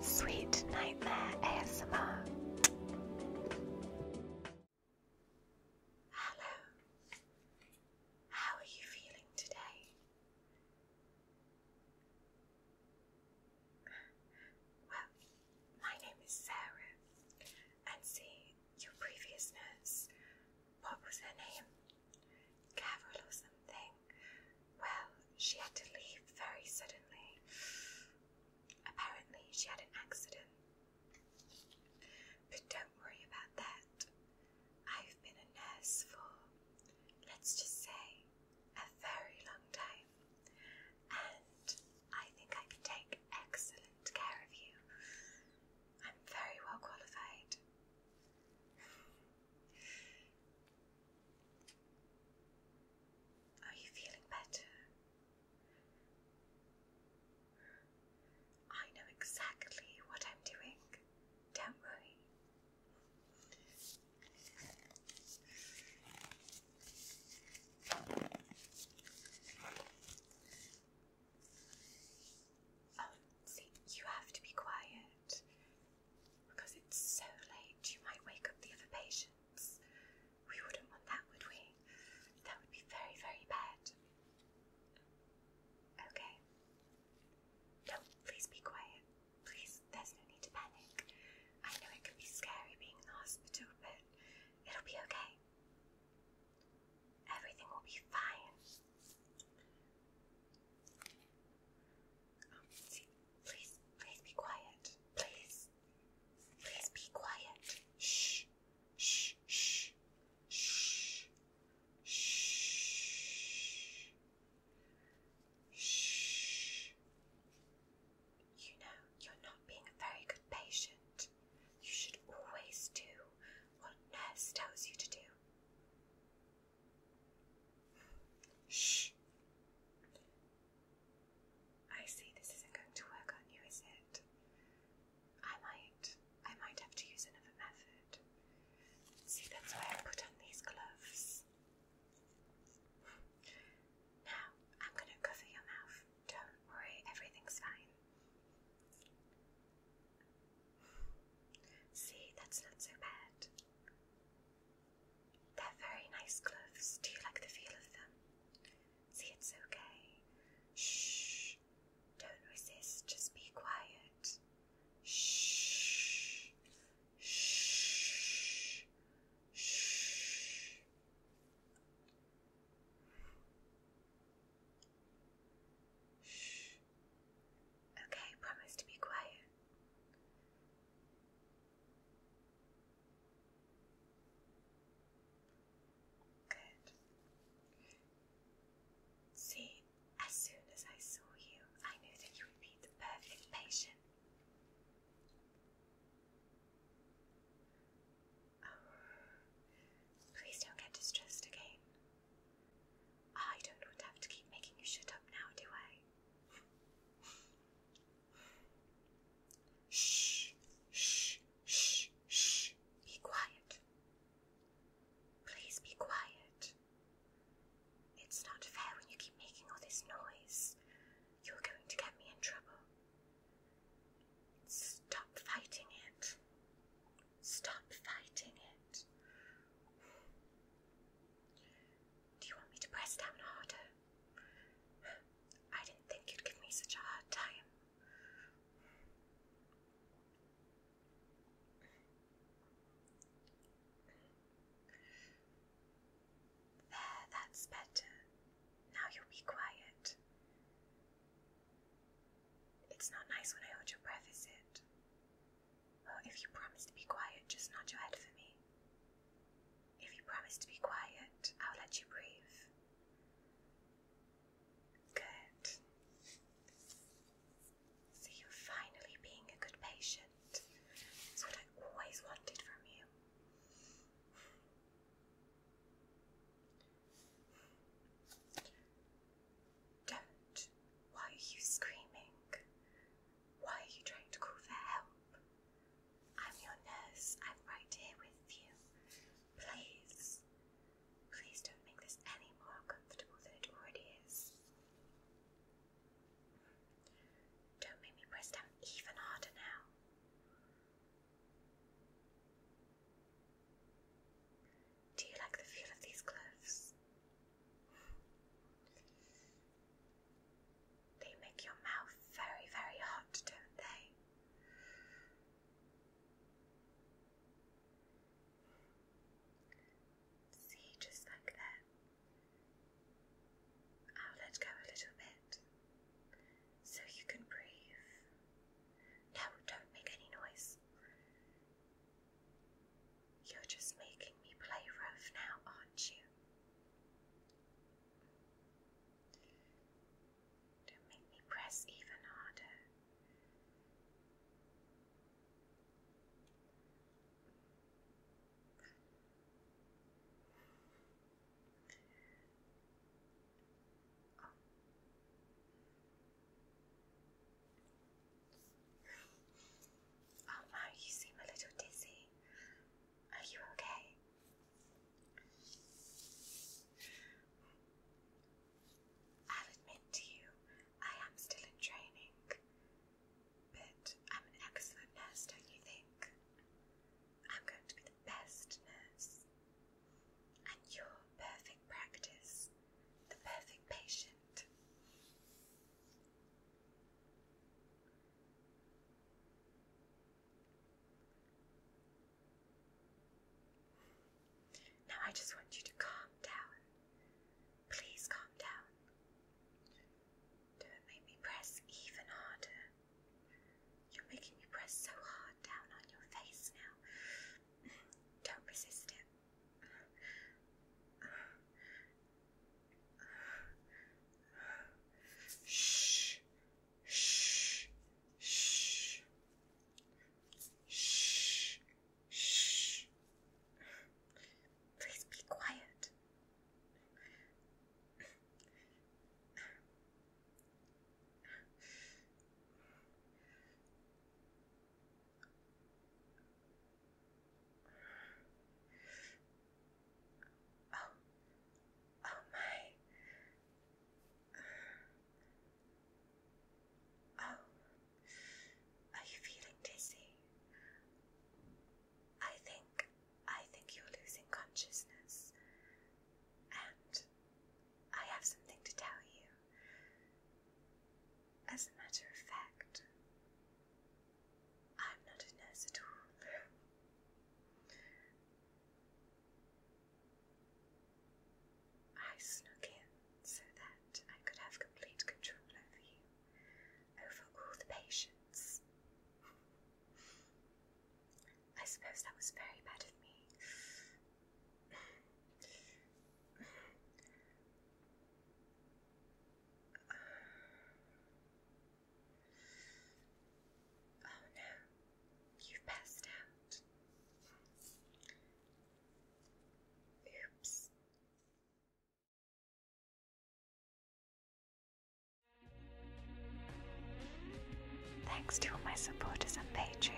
Sweet Nightmare ASMR. Hello. How are you feeling today? Well, my name is Sarah, and see, your previous nurse, what was her name? Carol or something, well, she had to leave very suddenly. Apparently, she had an accident. But don't worry about that. I've been a nurse for, let's just say, a very long time, and I think I can take excellent care of you. I'm very well qualified. Are you feeling better? I know exactly what I'm doing. Don't worry. Oh, see, you have to be quiet. Because it's so late, you might wake up the other patients. We wouldn't want that, would we? That would be very, very bad. Okay. No, please be quiet. Please, there's no need to panic. I know it can be scary being in the hospital, but it'll be okay. Everything will be fine. Um, please, please be quiet. Please, please be quiet. Shh, shh, shh, shh, shh, shh. You know, you're not being a very good patient. You should always do what nurse tells you to do. Shh. I see this isn't going to work on you, is it? I might. I might have to use another method. See, that's why I put on these gloves. Now, I'm going to cover your mouth. Don't worry, everything's fine. See, that's not so bad. They're very nice clothes. Do you like the feel of them? See, it's okay. Shh. Don't resist. Just be quiet. Shh. Shh. Shh. Shh. Okay, promise to be quiet. Good. See, as soon as I saw you, I knew that you would be the perfect patient. Oh, please don't get distressed again. I don't want to have to keep making you shut up now, do I? Shh, shh, shh, shh. Be quiet. Please be quiet. It's not fair when you keep making all this noise. You're going to get me in trouble. Stop fighting it. Stop fighting it. Do you want me to press down harder? I didn't think you'd give me such a hard time. There, that's better. Now you will be quiet. It's not nice when I hold your breath, is it? Well, if you promise to be quiet, just nod your head for me. If you promise to be quiet, I'll let you breathe. Good. So you're finally being a good patient. That's what I always wanted from you. Don't. Why are you screaming? Why are you trying to call for help? I'm your nurse. I'm right here with you. Please. Please don't make this any more uncomfortable than it already is. Don't make me press down even harder now. Do you like the feel of these gloves? They make your mouth very, very hot, don't they? See, just like that. I'll oh, let go a little bit so you can breathe. No, don't make any noise. You're just making me play rough now, aren't you? Don't make me press even harder. Oh. you seem a little dizzy. Are you okay? I'll admit to you, I am still in training. But I'm an excellent nurse, don't you think? I'm going to be the best nurse. And your perfect practice, the perfect patient. Now I just want you to calm down. Please calm down. Don't make me press even harder. You're making me press so hard down on your face now. Don't resist it. Shh, shh, shh, shh, shh. Please be quiet. Oh, oh my. Oh, are you feeling dizzy? I think I think you're losing consciousness. And I have something to tell you. As a matter of fact, I'm not a nurse at all. I snuck in so that I could have complete control over you, over all the patients. I suppose that was very bad of me. Oh no, you've passed out. Oops. Thanks to all my supporters on Patreon.